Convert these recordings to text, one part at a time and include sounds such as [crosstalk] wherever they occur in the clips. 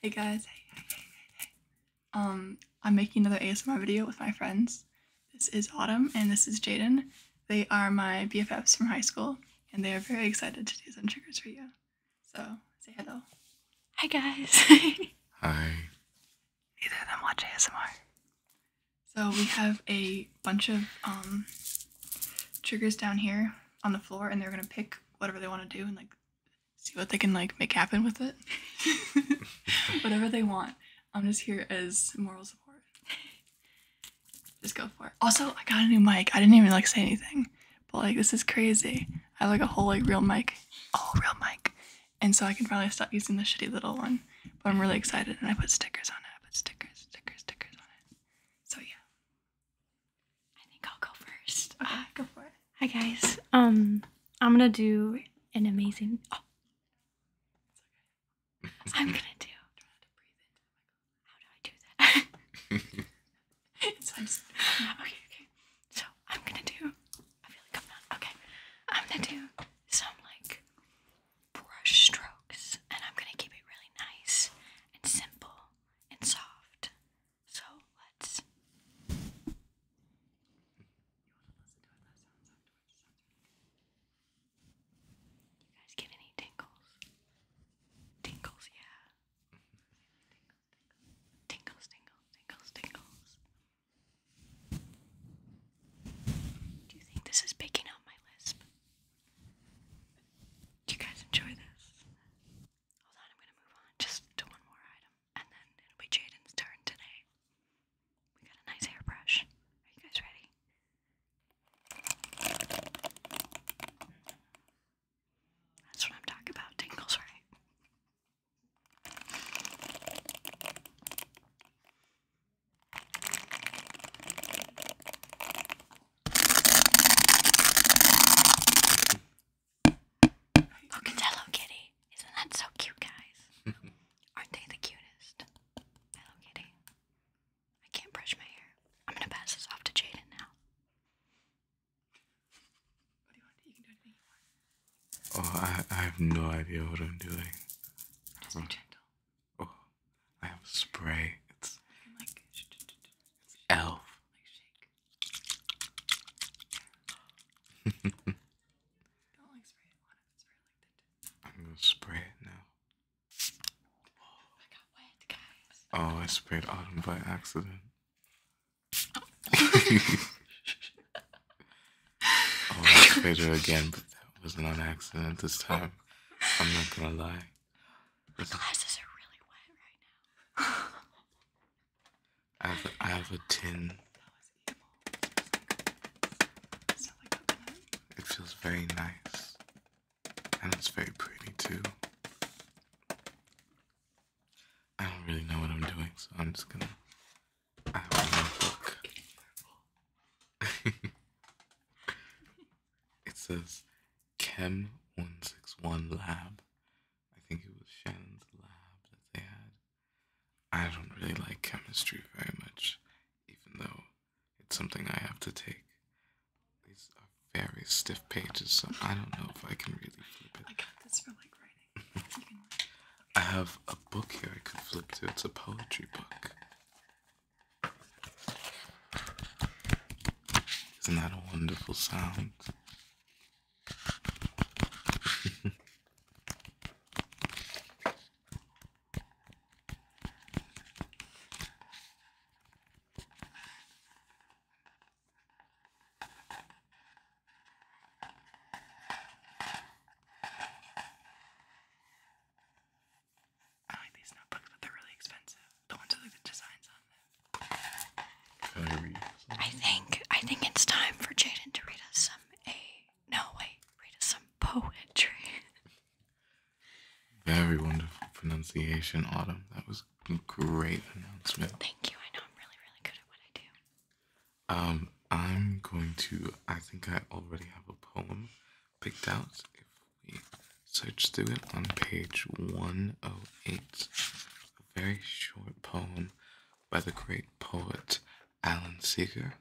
Hey guys, Um, I'm making another ASMR video with my friends. This is Autumn and this is Jaden. They are my BFFs from high school and they are very excited to do some triggers for you. So, say hello. Hi guys. [laughs] Hi. Neither of them watch ASMR. So we have a bunch of um triggers down here on the floor and they're gonna pick whatever they want to do and like see what they can like make happen with it. [laughs] whatever they want. I'm just here as moral support. just go for it. Also, I got a new mic. I didn't even like say anything. But like this is crazy. I have like a whole like real mic. Oh real mic. And so I can finally stop using the shitty little one. But I'm really excited and I put stickers on it. I put stickers, stickers, stickers on it. So yeah. I think I'll go first. go for it. Hi guys. Um, I'm gonna do an amazing. Oh, I'm gonna do. How do I do that? [laughs] [laughs] Okay, okay. So I'm gonna do. I feel like I'm not. Okay, I'm gonna do some like brush stroke and I'm gonna keep it really nice and simple and soft. So let's. You guys get any tingles? Tingles, yeah. Tingles, tingles, tingles, tingles. Do you think this is picking up my lisp? Do you guys enjoy this? Hold on, I'm gonna move on just to one more item, and then it'll be Jaden's turn today. We got a nice hairbrush. Are you guys ready? That's what I'm talking about. Tingles, right? Look, Hello Kitty. Isn't that so cute, guys? [laughs] Aren't they the cutest? Hello Kitty. I can't brush my hair. I'm gonna pass this off to Jaden now. Oh, I, I have no idea what I'm doing. Just be gentle. Oh, I have spray. It's, elf. I'm gonna spray it now. Oh, I sprayed autumn by accident. [laughs] oh, I sprayed her again, but that wasn't an accident this time. I'm not gonna lie. My glasses are really wet right now. I have a, I have a tin. It feels very nice, and it's very pretty too. I don't really know what I'm doing, so I'm just gonna. I have a notebook it says Chem 161 Lab. I think it was Shannon's lab that they had. I don't really like chemistry very much, even though it's something I have to take. These are very stiff pages, so I don't know if I can really flip it. I got this for like writing. [laughs] I have a book here I could flip to. It's a poetry book. Isn't that a wonderful sound? I like these notebooks, but they're really expensive. The ones with the designs on them. I think I think it's time for Jaden to read us some a no wait, read us some poetry. Very wonderful pronunciation, Autumn. That was a great announcement. Thank you. I know I'm really, really good at what I do. Um, I'm going to I think I already have a poem picked out if we search through it on page 108. A very short poem by the great poet Alan Seeger.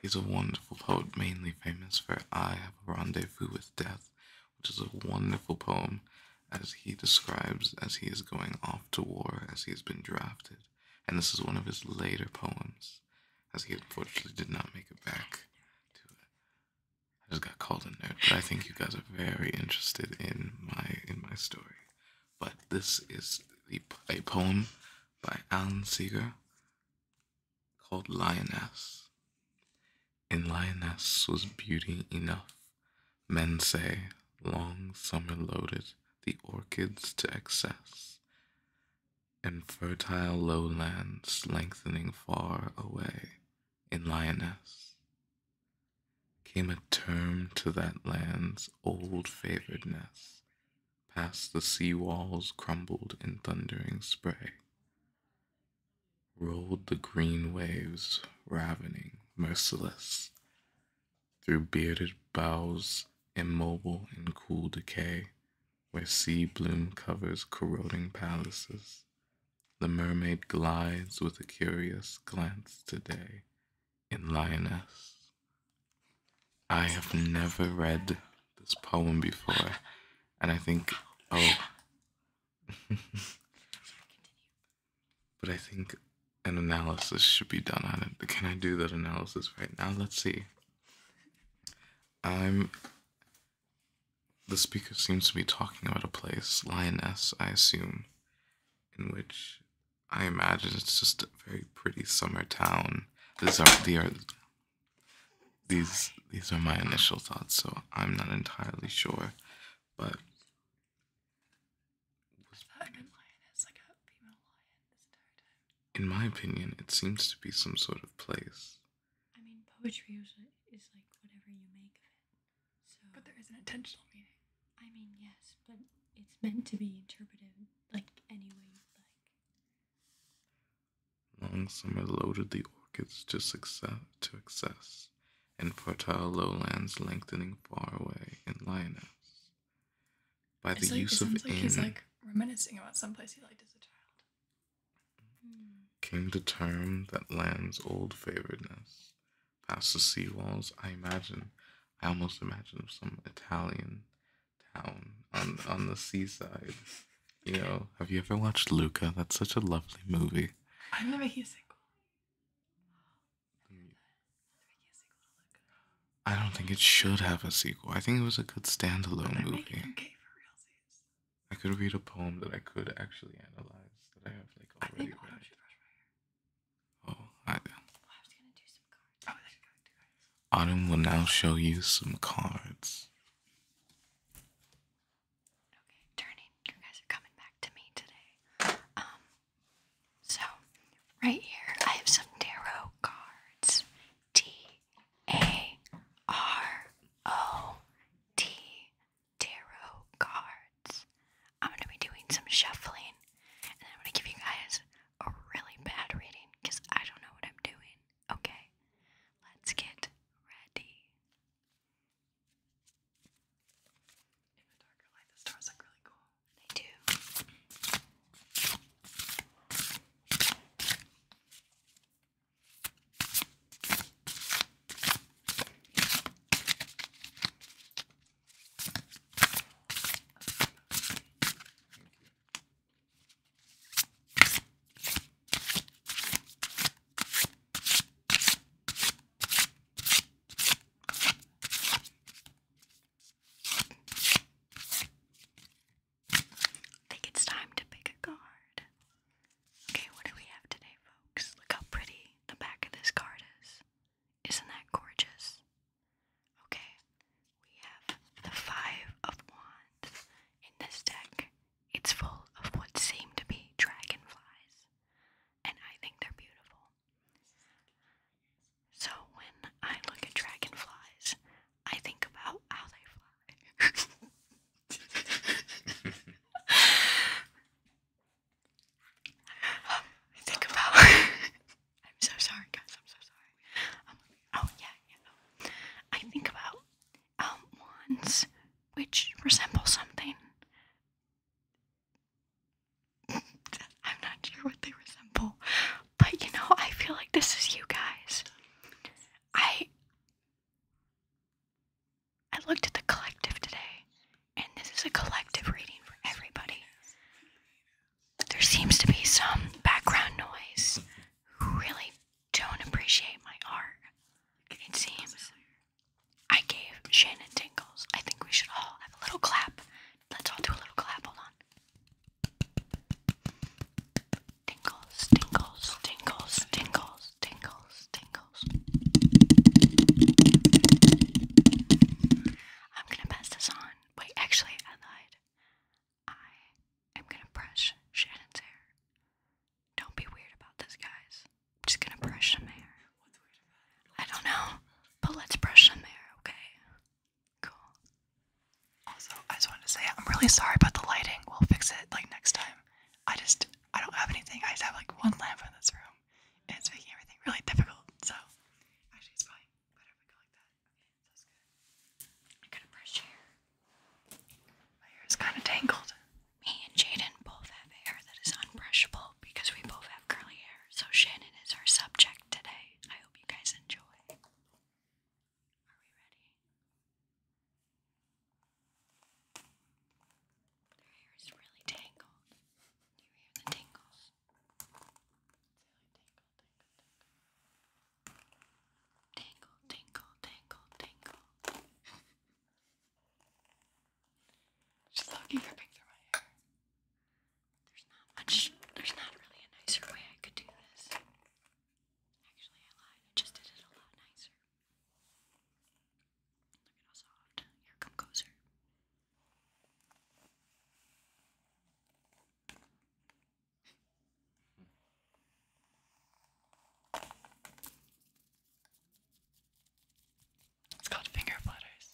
He's a wonderful poet, mainly famous for I Have a Rendezvous with Death, which is a wonderful poem as he describes as he is going off to war, as he has been drafted and this is one of his later poems, as he unfortunately did not make it back to it. I just got called in there, but I think you guys are very interested in my in my story. But this is a poem by Alan Seeger called Lioness. In Lioness was beauty enough, men say, long summer loaded the orchids to excess and fertile lowlands lengthening far away in lioness came a term to that land's old favoredness past the sea walls crumbled in thundering spray rolled the green waves ravening merciless through bearded boughs, immobile in cool decay, where sea bloom covers corroding palaces, the mermaid glides with a curious glance today in Lioness. I have never read this poem before, and I think, oh. [laughs] but I think an analysis should be done on it. Can I do that analysis right now? Let's see. I'm. The speaker seems to be talking about a place, Lioness, I assume, in which I imagine it's just a very pretty summer town. These are the are these are my initial thoughts, so I'm not entirely sure, but in my opinion, it seems to be some sort of place. I mean, poetry is, is like whatever you make of it. So, but there is an intentional meaning. I mean, yes, but it's meant to be interpreted like any way you like. Long summer loaded the orchids to success to excess, and fertile lowlands lengthening far away in lioness by the use of like in. He's like reminiscing about someplace he liked as a child. Came to term that land's old favoredness. Past the sea walls, I imagine, I almost imagine some Italian town on on the seaside. You know, have you ever watched Luca? That's such a lovely movie. I've never seen a single. I don't think it should have a sequel. I think it was a good standalone movie. I could read a poem that I could actually analyze that I have like already read. Oh, I. Well, I oh, Autumn will now show you some cards. Okay, turning. You guys are coming back to me today. Um, so, right here, I have some tarot cards. T A R O T tarot cards. I'm going to be doing some shuffling and then I'm going to give you guys a really bad reading because I don't know what I'm doing. Okay, let's get ready. In the darker light, the stars look really cool. They do. I think it's time to pick a card. Okay, what do we have today, folks? Look how pretty the back of this card is. Isn't that gorgeous? Okay, we have the Five of Wands in this deck. It's full of what seem to be dragonflies, and I think they're beautiful. So when I look at dragonflies, I think about how they fly. [laughs] I think about. [laughs] I'm so sorry, guys. I'm so sorry. Um, oh yeah, yeah. I think about um, wands which resemble something [laughs] I'm not sure what they resemble, but you know, I feel like this is you guys. I I looked at the collective today, and this is a collective reading for everybody. There seems to be some background noise who really don't appreciate my art. It seems I gave Shannon tingles. I think we should all have a little clap. Let's all do a little clap. Hold on. Tingles, tingles, tingles, tingles, tingles, tingles. I'm gonna pass this on. Wait, actually, I lied. I am gonna brush Shannon's hair. Don't be weird about this, guys. I'm just gonna brush some hair. I don't know, but let's brush some hair, okay? Cool. Also, I just wanted to say I'm really sorry about the lighting. We'll fix it like next time. I just I don't have anything. I just have like one lamp in this room, and it's making everything really difficult. So actually, it's probably I'm gonna brush your hair. My hair is kind of tangled. Me and Jaden both have hair that is unbrushable because we both have curly hair. So Shannon is our subject today. I hope you guys enjoy. Are we ready? Their hair is really tangled. you hear the tingles? tingle. tingle, tingle, tingle. [laughs] She's lucky ripping through my hair. There's not much, there's not really a nicer way I could do this. Actually, I lied. I just did it a lot nicer. Look at how soft. Here, come closer. It's called finger flutters.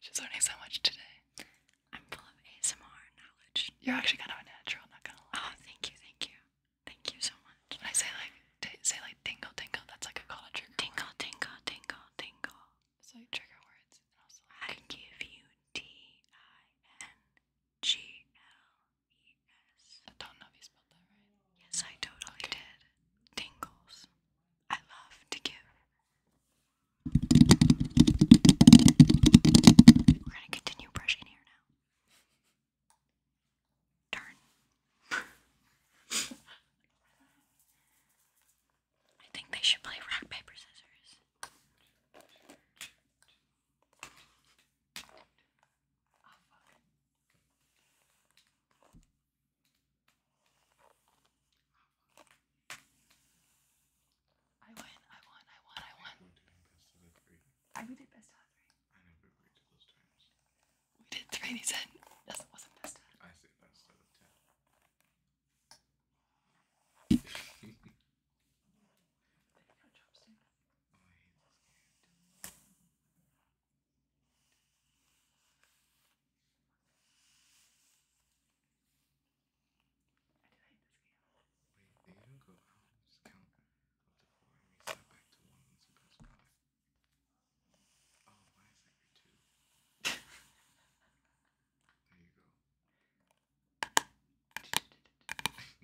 She's learning so much today. I'm full of ASMR knowledge. You're actually kind of a natural, not gonna lie. Oh, thank you, thank you. Thank you so much. When I say like say like tingle tingle, that's like a call to trigger. Tingle tingle tingle tingle. So like trigger words and also like I give you T I N G L E-S. I don't know if you spelled Yes, I totally did. Tingles. I love to give. We're gonna continue brushing here now. Darn. I think they should play rock, paper, scissors. I won, I won, I won, I won. We're best out of three. I we did best out of three. I we did three, he said. That wasn't best out of I said best out of ten. [laughs] I Wait, they even go out. Just count up to four and reset back to one once you press five. Oh, two? [laughs] there you go. I took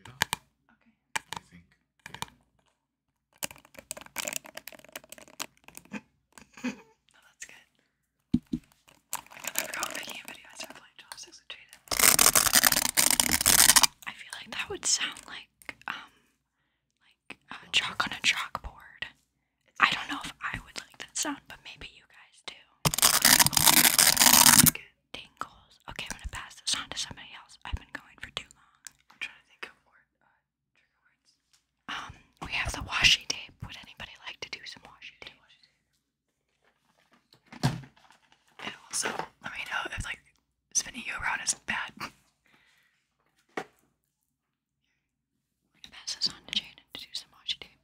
it off. Okay. I think. No, oh, that's good. Like I never got making a video I started playing chopsticks with Jaden. I feel like that would sound like um like uh, chalk on a chalkboard. I don't know if I would like that sound, but maybe you guys do tingles. Okay, I'm gonna pass this on to somebody else. I've been going for too long. I'm trying to think of uh, words. Um, we have the washi tape. Would anybody like to do some washi tape? also, let me know if like spinning you around is bad. I'm [laughs] gonna pass this on to Jaden to do some washi tape.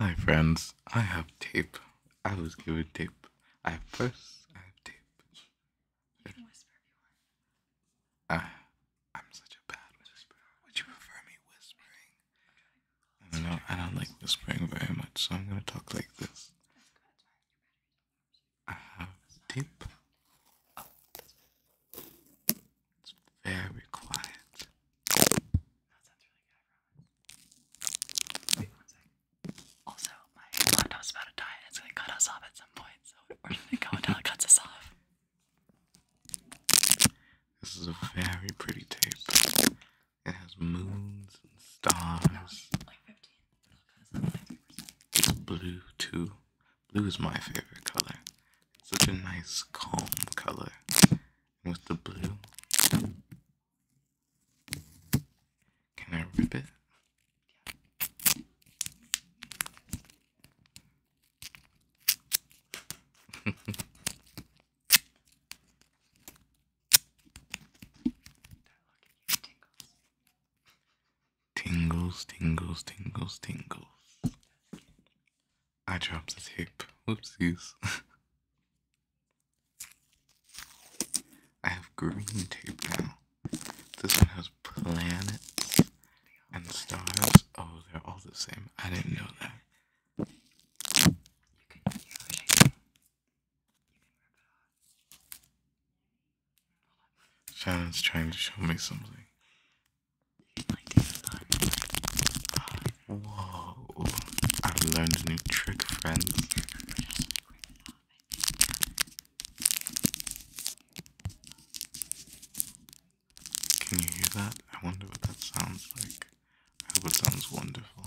Hi, friends. I have tape. I was given tape. I have purse. I have tape. I, I'm such a bad whisperer. Would you prefer me whispering? I don't know. I don't like whispering very much, so I'm gonna talk like this. I have tape. It's very quiet. Also, my laptop's about to die it's gonna cut us off at some point, so we're gonna go until it cuts us off. This is a very pretty tape. It has moons and stars. It's blue too. Blue is my favorite color. such a nice calm color. with the blue, can I rip it? [laughs] tingles. Tingles, tingles, tingles, I dropped the tape. Whoopsies. [laughs] I have green tape now. This one has planets and stars. Oh, they're all the same. I didn't know that. Shannon's trying to show me something. Whoa. I've learned a new trick, friends. Can you hear that? I wonder what that sounds like. I hope it sounds wonderful.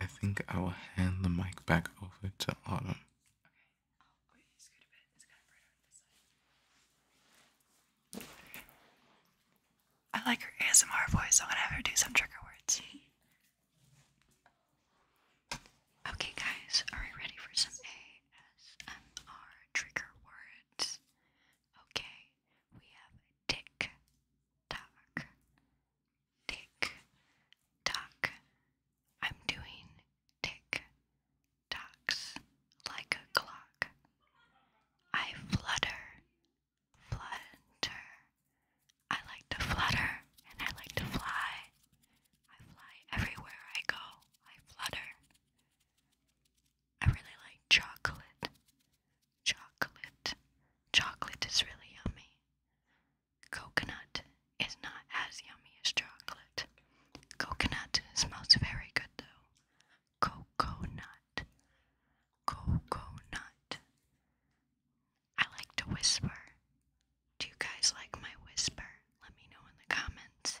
I think I will hand the mic back over to Autumn. I like her ASMR voice, so I'm gonna have her do some trigger words. okay, guys, are we ready for some ASMR trigger words? Okay, we have tick tock, tick tock. I'm doing tick tocks like a clock. I flutter, flutter. I like to flutter and I like to fly. I fly everywhere I go. I flutter. I really like chocolate. Chocolate. Chocolate is really yummy. Coconut is not as yummy as chocolate. Coconut smells very good though. Coconut. Coconut. I like to whisper. Do you guys like my whisper? Let me know in the comments.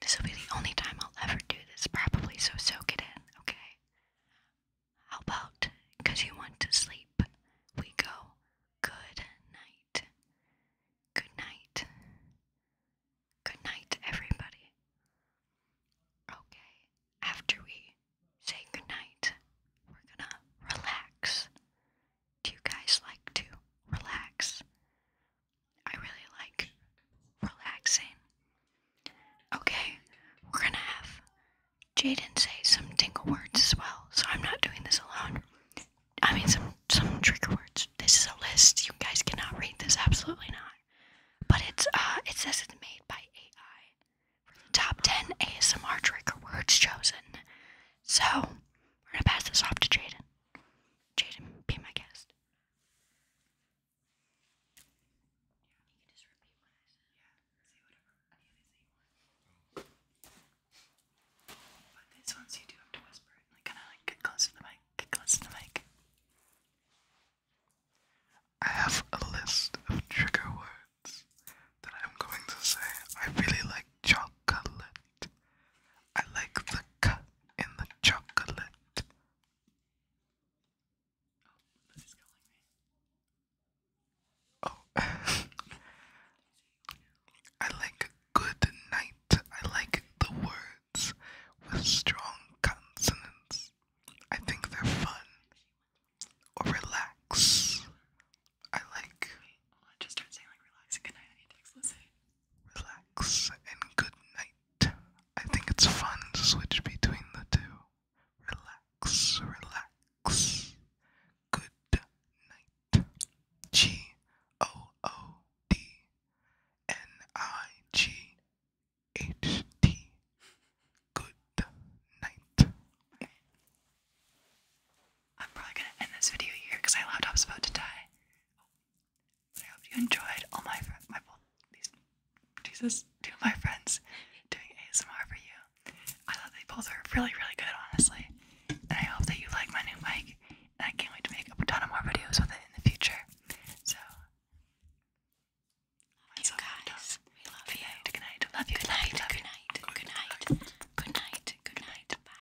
This will be the only time I'll ever do this, probably, so soak it in, okay? How about, because you want to sleep, we go good night. Good night. Good night, everybody. Okay, after we say good night, we're gonna relax. Do you guys like to relax? I really like relaxing. Okay, we're gonna have Jaden say some tingle words as well, so I'm not doing this alone. I mean, some some trigger words. This is a list. You guys cannot read this. Absolutely not. But it's uh, it says it's made by AI for the top ten ASMR trigger words chosen. So we're gonna pass this off to Jaden. Jaden, be my guest. But these ones you do have to whisper like kinda like get close to the mic. Get close to the mic. I have a list of trigger words that I'm going to say. I really like chocolate. I like the cut in the chocolate. Oh, [laughs] I like good night. I like the words with strong consonants. I think they're fun or relax. I like. Wait, I just start saying like relax and good night. I need to relax, and good night. I think it's fun to switch between the two. Relax, relax, good night. G O O D N I G H T. Good night. I'm probably gonna end this video here because I my laptop's about to die. I hope you enjoyed all my friends, my these, Jesus, two my friends doing ASMR for you. I thought they both were really, really good, honestly. And I hope that you like my new mic. And I can't wait to make a ton of more videos with it in the future. So, love you guys. We love you. good night. Love you. Good night. Good night. Good night. Good night. Good night. Good night. Bye.